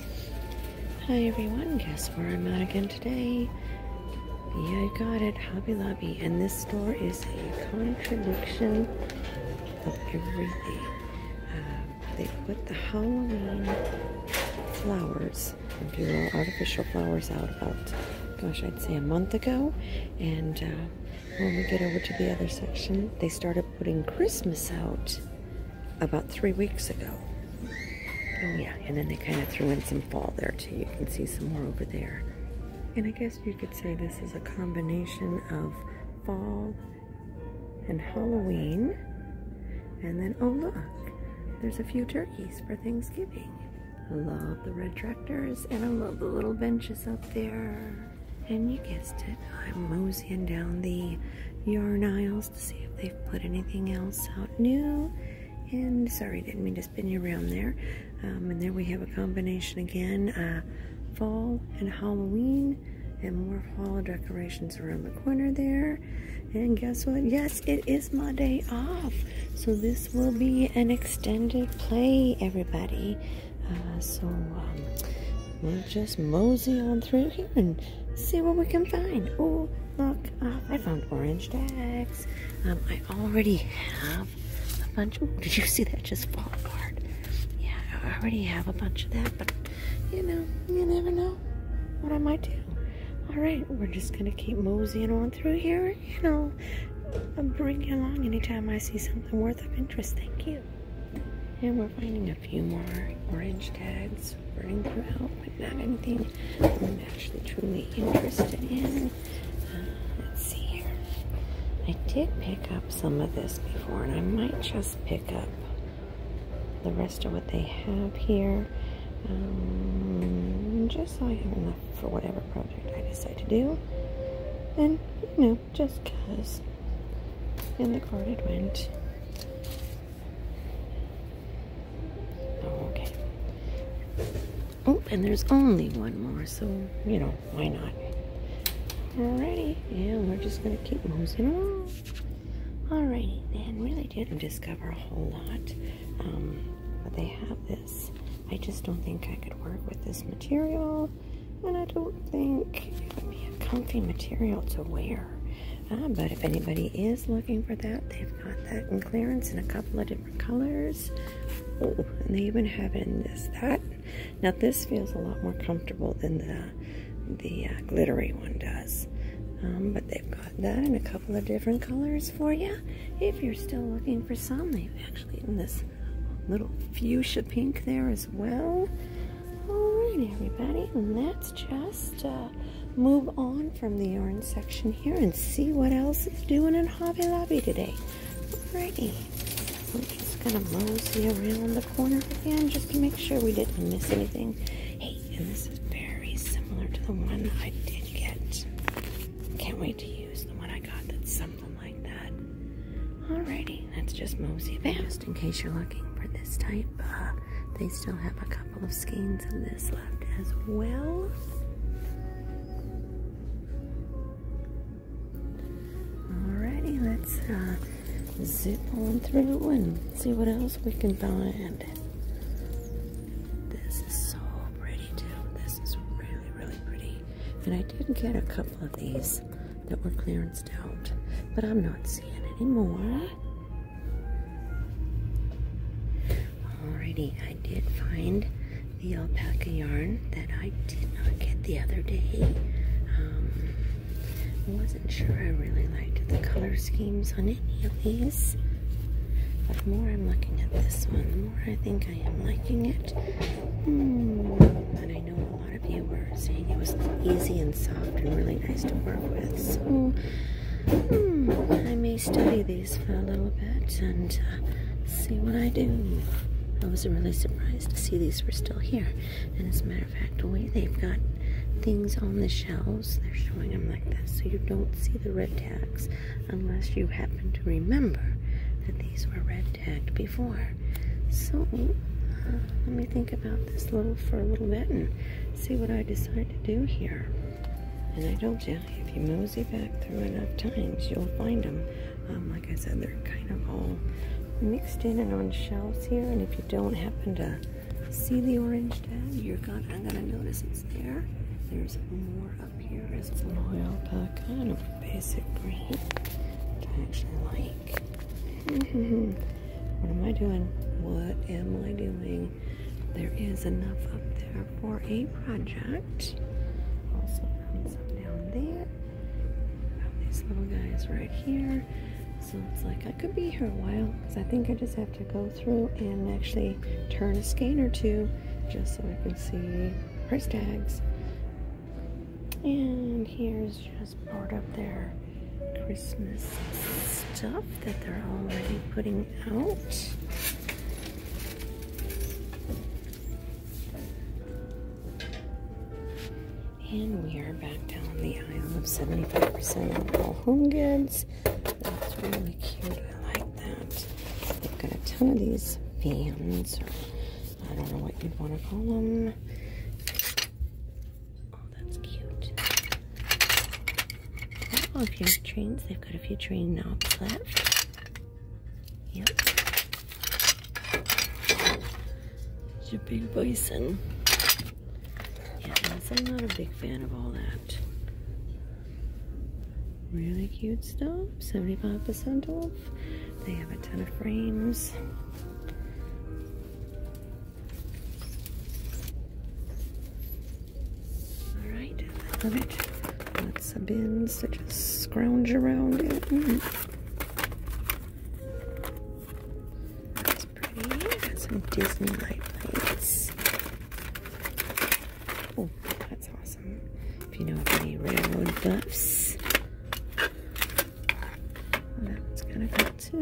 Hi everyone, guess where I'm at again today? Yeah, I got it, Hobby Lobby. And this store is a contradiction of everything. Uh, they put the Halloween flowers, the little artificial flowers out about, gosh, I'd say a month ago. And uh, when we get over to the other section, they started putting Christmas out about three weeks ago. Oh yeah, and then they kind of threw in some fall there too. You can see some more over there. And I guess you could say this is a combination of fall and Halloween. And then, oh look, there's a few turkeys for Thanksgiving. I love the red tractors and I love the little benches up there. And you guessed it, I'm moseying down the yarn aisles see if they've put anything else out new. And sorry, didn't mean to spin you around there. Um, and there we have a combination again, uh, fall and Halloween, and more fall decorations around the corner there. And guess what? Yes, it is my day off. So this will be an extended play, everybody. Uh, so um, we'll just mosey on through here and see what we can find. Oh, look, uh, I found orange tags. Um, I already have a bunch. Oh, did you see that just fall apart? Yeah, I already have a bunch of that, but you know, you never know what I might do. All right, we're just gonna keep moseying on through here, you know, I'll bring you along anytime I see something worth of interest. Thank you. And we're finding it a few more orange tags running throughout, but not anything I'm actually truly interested in. Uh, let's see here. I did pick up some of this before, and I might just pick up the rest of what they have here. Um, just so I have enough for whatever project I decide to do. And, you know, just because. in the card it went. Oh, okay. Oh, and there's only one more, so, you know, why not? Alrighty, and we're just gonna keep moving along. Alrighty, Then, really didn't discover a whole lot, um, but they have this. I just don't think I could work with this material, and I don't think it would be a comfy material to wear. Ah, but if anybody is looking for that, they've got that in clearance in a couple of different colors. Oh, and they even have it in this, that. Now this feels a lot more comfortable than the, the uh, glittery one does. Um, but they've got that in a couple of different colors for you. If you're still looking for some, they've actually in this little fuchsia pink there as well. Alright, everybody, let's just uh, move on from the yarn section here and see what else is doing in Hobby Lobby today. Alrighty, I'm just gonna mosey around the corner again just to make sure we didn't miss anything. Hey, and this is very similar to the one I did get. Can't wait to use the one I got that's something like that. Alrighty, let's just mosey past in case you're looking for this type. Uh, they still have a couple of skeins of this left as well. Alrighty, let's uh, zip on through and see what else we can find. This is so pretty too. This is really, really pretty. And I did get a couple of these that were clearance don't. But I'm not seeing any more. Alrighty, I did find the alpaca yarn that I did not get the other day. I um, wasn't sure I really liked the color schemes on any of these. But the more I'm looking at this one, the more I think I am liking it. Mm, a lot of you were saying it was easy and soft and really nice to work with. So hmm, I may study these for a little bit and uh, see what I do. I was really surprised to see these were still here. And as a matter of fact, we, they've got things on the shelves. They're showing them like this, so you don't see the red tags unless you happen to remember that these were red tagged before. So, uh, let me think about this little for a little bit and see what I decide to do here. And I told you, if you mosey back through enough times, you'll find them. Um, like I said, they're kind of all mixed in and on shelves here. And if you don't happen to see the orange tag, you're gonna, I'm gonna notice it's there. There's more up here as well. Alpaca and a basic breed, I actually like what am I doing? What am I doing? There is enough up there for a project. Also from some down there. these little guys right here. So it's like I could be here a while because I think I just have to go through and actually turn a skein or two just so I can see price tags. And here's is just part of their Christmas stuff that they're already putting out. And we are back down the aisle of 75% off all home goods. That's really cute. I like that. They've got a ton of these fans, or I don't know what you'd want to call them. Oh, that's cute. Oh, if you have trains, they've got a few train knobs left. Yep. It's a big bison. Yeah, I'm not a big fan of all that. Really cute stuff. 75% off. They have a ton of frames. Alright, I love it. Lots of bins that just scrounge around it. Mm. That's pretty. Got some Disney light plates. Oh, that's awesome. If you know any railroad buffs. That kind of cool two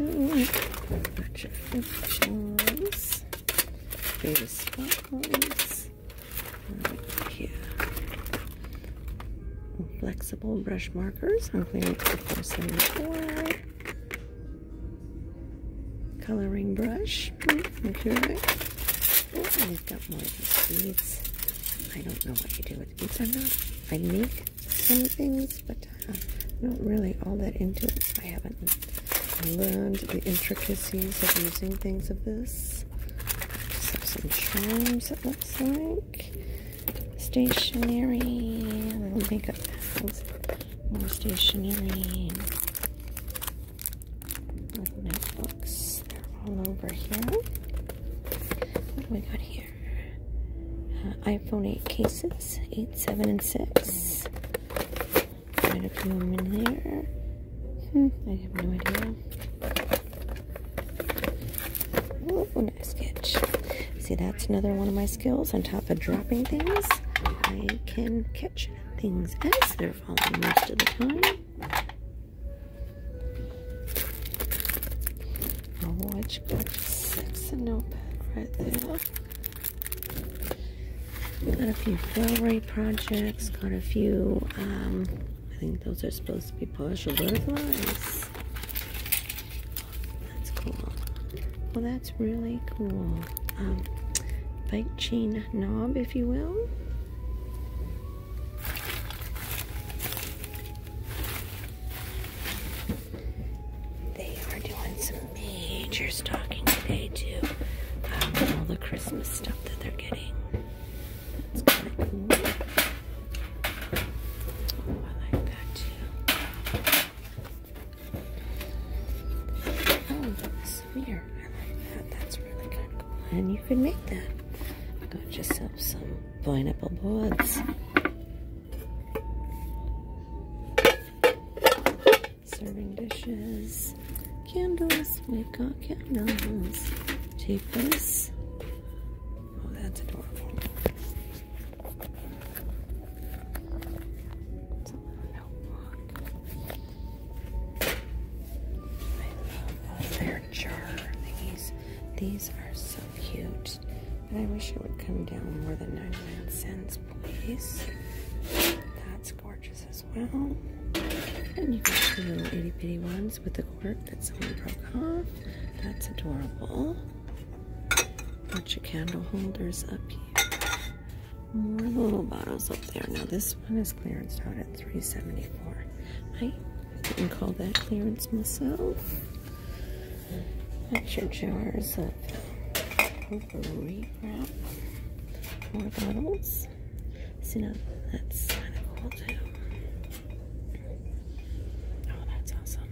electric fictionals, baby sparkles, right here. Flexible brush markers on clearance for 474 coloring brush. Hmm, okay. Oh, I've got more of these seeds. I don't know what to do with beads. I'm not, I make some things, but I'm uh, not really all that into it. I haven't learned the intricacies of using things of this. Just have some charms, it looks like. Stationery, little makeup bags, more stationery. With notebooks, they're all over here. What do we got here? iPhone 8 cases, 8, 7, and 6. Hmm, I have no idea. Oh, nice sketch. See, that's another one of my skills. On top of dropping things, I can catch things as they're falling most of the time much better. That's right there. Got a few railway projects, got a few, um, I think those are supposed to be partial butterflies. That's cool. Well, that's really cool. Um, bike chain knob, if you will. They are doing some major stocking today too. Um, all the Christmas stuff that they're getting. It's kind of cool. Oh, I like that too. Oh, this mirror. I like that. That's really kind of cool. And you could make that. I'm gonna just have some pineapple boards. Serving dishes, candles, we've got candles. Take this. Oh, that's adorable. These are so cute. I wish it would come down more than 99 cents, please. That's gorgeous as well. And you get the little itty bitty ones with the cork that someone broke off. That's adorable. Bunch of candle holders up here. More little bottles up there. Now this one is clearance out at 374. I didn't call that clearance myself. That's your jars of potpourri wrap. More bottles. So now that's kind of cool too. Oh, that's awesome.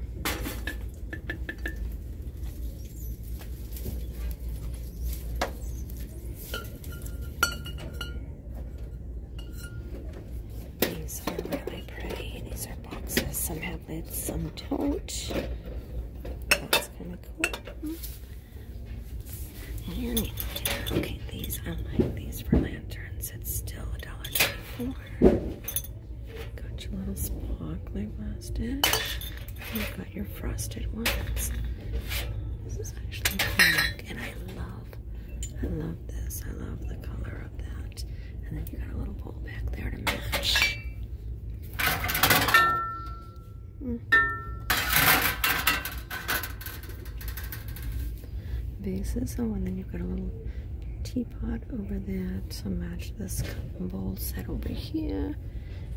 These are really pretty. These are boxes. Some have lids, some don't. That's kind of cool. Okay, these I like these for lanterns. It's still a dollar twenty-four. Got your little sparkly my You got your frosted ones. This is actually pink, and I love, I love this. I love the color and then you got a little bowl back there to match. Mm. Bases. Oh, and then you've got a little teapot over there to match this cotton bowl set over here.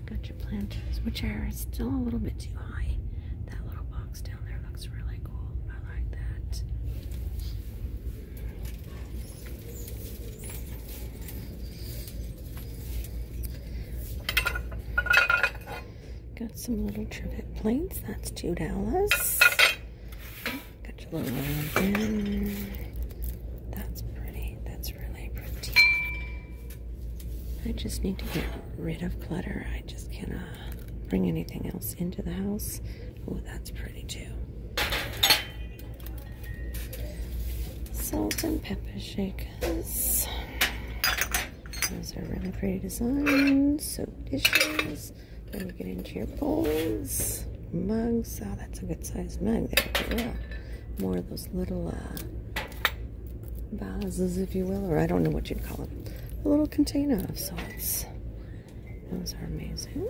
Got your planters, which are still a little bit too high. That little box down there looks really cool. I like that. Got some little trivet plates. That's two dollars. Got your little one That's pretty. That's really pretty. I just need to get rid of clutter. I just cannot bring anything else into the house. Oh, that's pretty too. Salt and pepper shakers. Those are really pretty designs. Soap dishes. Then you get into your bowls, mugs. Oh, that's a good sized mug. There More of those little uh, vases, if you will, or I don't know what you'd call them A little container of sorts. Those are amazing.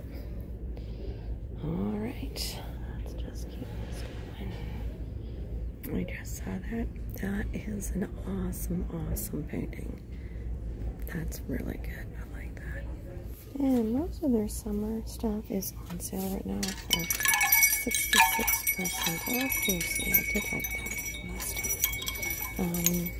All that's just keep this going. I just saw that. That is an awesome, awesome painting. That's really good. I like that. And most of their summer stuff is on sale right now for 66% off. So I did like that last time. Um,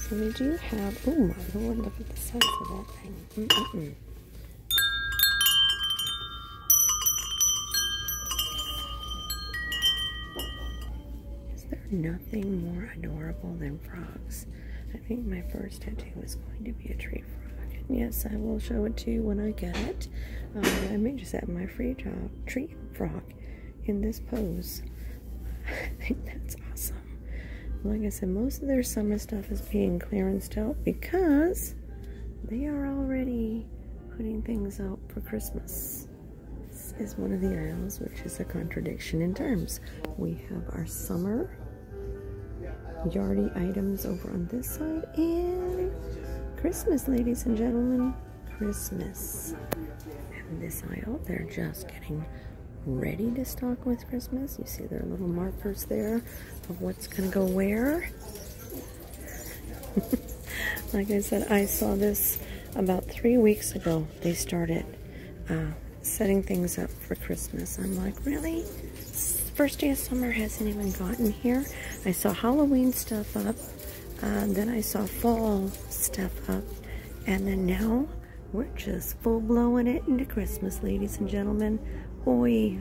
so we do have, oh my lord, look at the size of that thing. Is there nothing more adorable than frogs? I think my first it was going to be a tree frog. yes, I will show it to you when I get it. Um, I may just have my free job tree frog in this pose. I think that's awesome. Like I said, most of their summer stuff is being clearanced out because they are already putting things out for Christmas. This is one of the aisles, which is a contradiction in terms. We have our summer Yardy items over on this side. And Christmas, ladies and gentlemen. Christmas. And this aisle, they're just getting ready to stock with Christmas. You see their little markers there of what's going to go where. like I said, I saw this about three weeks ago. They started uh, setting things up for Christmas. I'm like, really? first day of summer hasn't even gotten here. I saw Halloween stuff up, um, then I saw fall stuff up, and then now we're just full blowing it into Christmas, ladies and gentlemen. Oi!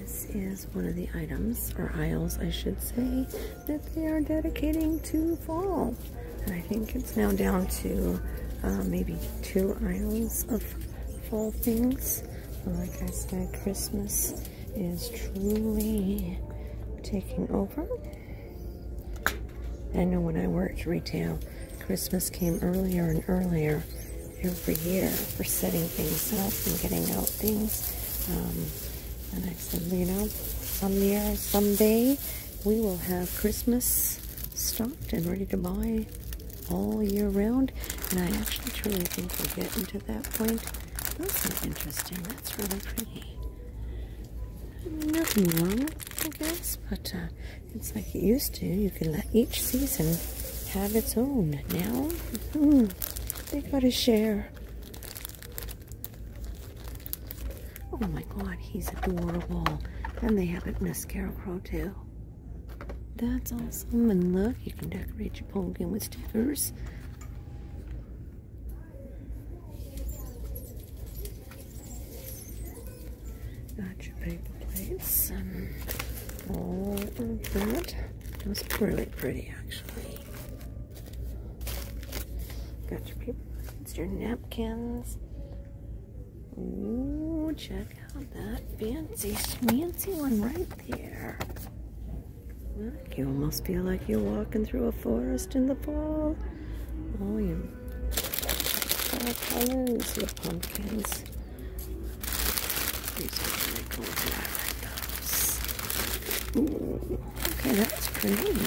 this is one of the items, or aisles I should say, that they are dedicating to fall. I think it's now down to uh, maybe two aisles of fall things like I said, Christmas is truly taking over. I know when I worked retail, Christmas came earlier and earlier every year for setting things up and getting out things. Um, and I said, you know, some year, someday, we will have Christmas stocked and ready to buy all year round. And I actually truly think we're getting to that point. That's are interesting. That's really pretty. Nothing wrong, I guess, but uh, it's like it used to. You can let each season have its own. Now, mm, they got to share. Oh my god, he's adorable. And they have it in a scarecrow too. That's awesome. And look, you can decorate your pumpkin with stickers. Got your paper plates and all of that. It was really pretty, actually. Got your paper plates, your napkins. Ooh, check that fancy schmancy one right there. Look, you almost feel like you're walking through a forest in the fall. Oh, you colors, your pumpkins. These are really cool, I like those. Ooh, okay, that's pretty.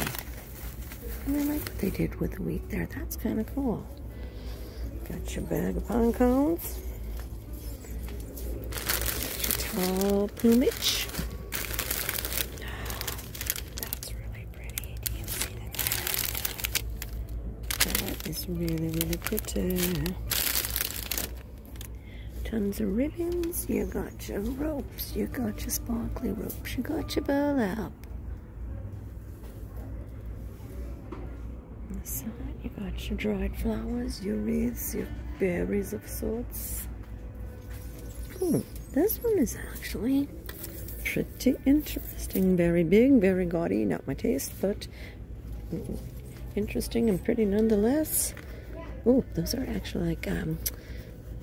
I like what they did with the wheat there. That's kind of cool. Got your bag of pine cones. Tall plumage. That's really pretty. That is really, really pretty. Tons of ribbons. You got your ropes. You got your sparkly ropes. You got your burlap you got your dried flowers, your wreaths, your berries of sorts. Hmm. this one is actually pretty interesting. Very big, very gaudy, not my taste, but interesting and pretty nonetheless. Oh, those are actually like um,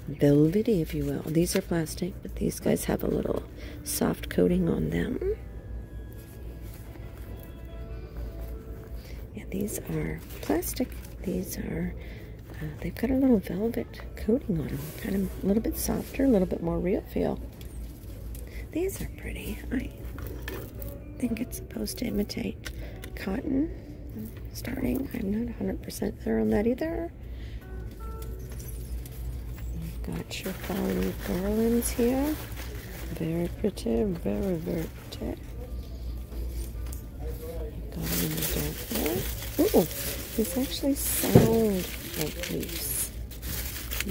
velvety, if you will. These are plastic, but these guys have a little soft coating on them. Yeah, these are plastic. These are, uh, they've got a little velvet coating on them. Kind of a little bit softer, a little bit more real feel. These are pretty. I think it's supposed to imitate cotton. Starting, I'm not 100% sure on that either. got your fall garlands here. Very pretty, very, very pretty. Got it in the dark there. Ooh, these actually sound like leaves.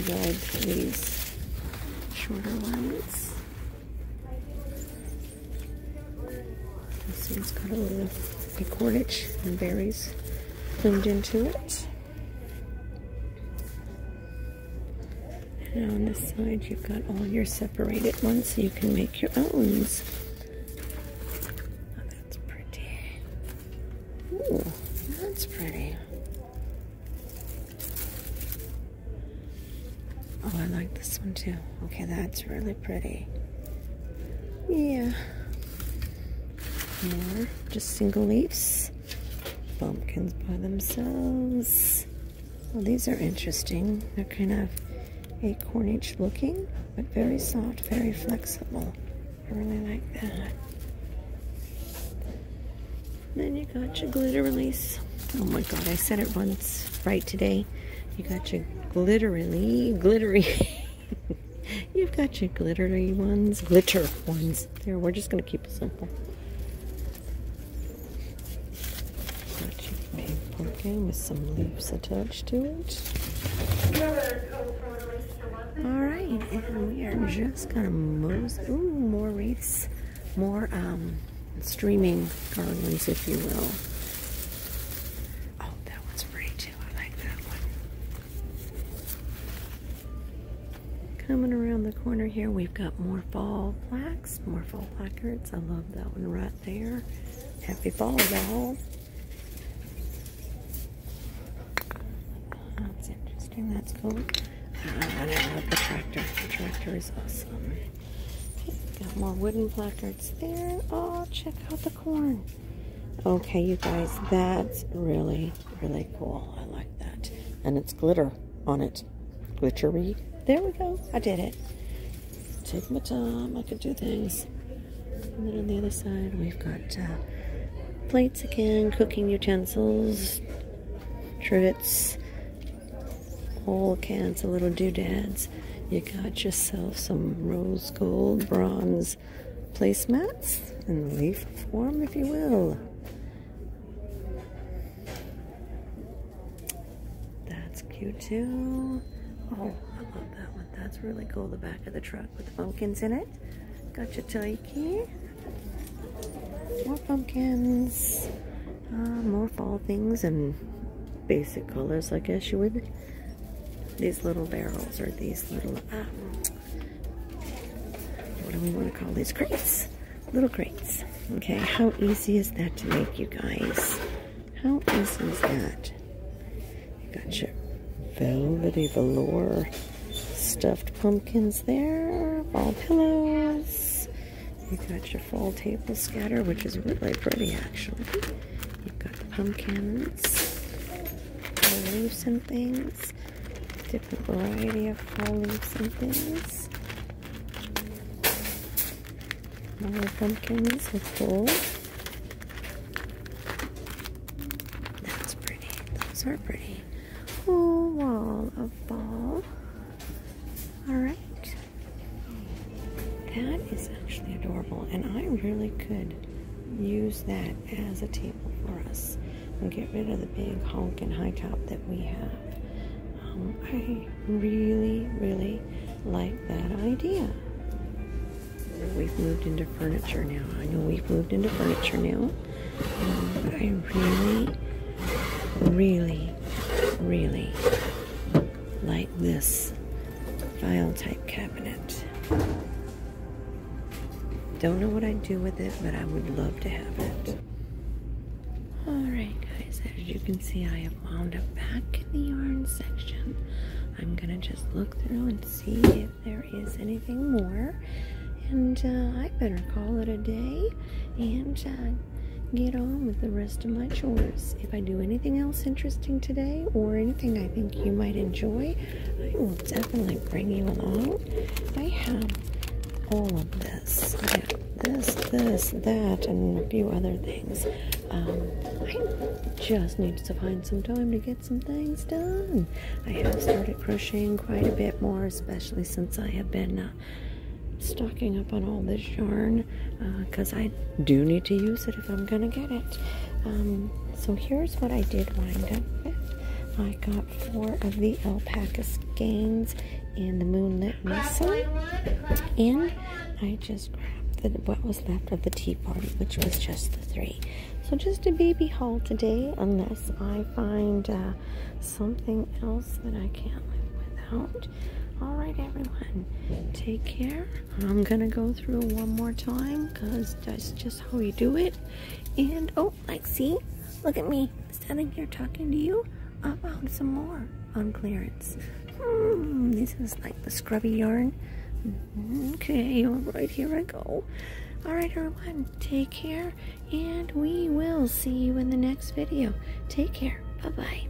Red leaves, shorter ones. This one's got a little of and berries climbed into it. And on this side, you've got all your separated ones, so you can make your own. Oh, that's pretty. Ooh, that's pretty. Oh, I like this one too. Okay, that's really pretty. Yeah. More, just single leaves bumpkins by themselves. Well, these are interesting. They're kind of acornish looking, but very soft, very flexible. I really like that. Then you got your glitter release. Oh my god, I said it once right today. You got your glitterily, glittery. You've got your glittery ones, glitter ones. There, we're just going to keep simple. pumpkin with some leaves attached to it. Alright, and we are just gonna move. Ooh, more wreaths. More um, streaming garlands, if you will. Oh, that one's pretty too. I like that one. Coming around the corner here, we've got more fall plaques, more fall placards. I love that one right there. Happy fall, y'all. That's interesting. That's cool. Uh, I love the tractor. The tractor is awesome. got more wooden placards there. Oh, check out the corn. Okay, you guys, that's really Really cool. I like that. And it's glitter on it. Glittery. There we go. I did it. Take my time. I can do things. And then on the other side, we've got uh, plates again, cooking utensils, trivets, whole cans of little doodads. You got yourself some rose gold bronze placemats in leaf form, if you will. That's cute too. Oh, I love that one. That's really cool. The back of the truck with the pumpkins in it. Gotcha, your More pumpkins. Ah, more fall things and basic colors, I guess you would. These little barrels or these little ah, what do we want to call these crates? Little crates. Okay, how easy is that to make, you guys? How easy is that? You got your velvety velour stuffed pumpkins there, ball pillows. You got your fall table scatter, which is really pretty actually. You've got the pumpkins, the leaves things. Different variety of fall leaves and things. More pumpkins with gold. That's pretty. Those are pretty. Whole wall of ball. Alright. That is actually adorable, and I really could use that as a table for us and get rid of the big honk and high top that we have. Um, I really, really like that idea. We've moved into furniture now. I know we've moved into furniture now. Um, I really, really, really like this file type cabinet. Don't know what I'd do with it, but I would love to have it. Alright guys, as you can see, I have wound up back in the yarn section. I'm going to just look through and see if there is anything more. And uh, I better call it a day and uh, get on with the rest of my chores. If I do anything else interesting today or anything I think you might enjoy, definitely bring you along. I have all of this. this, this, that, and a few other things. Um, I just need to find some time to get some things done. I have started crocheting quite a bit more, especially since I have been uh, stocking up on all this yarn because uh, I do need to use it if I'm going to get it. Um, so here's what I did wind up with. I got four of the alpaca skeins and the moonlit mesa. And I just grabbed the, what was left of the tea party, which was just the three. So just a baby haul today, unless I find uh, something else that I can't live without. All right, everyone, take care. I'm gonna go through one more time because that's just how we do it. And oh, like, see? Look at me standing here talking to you. about some more on clearance. Hmm, this is like the scrubby yarn. Mm-hmm. Okay, alright, here I go. Alright, everyone, take care, and we will see you in the next video. Take care. Bye-bye.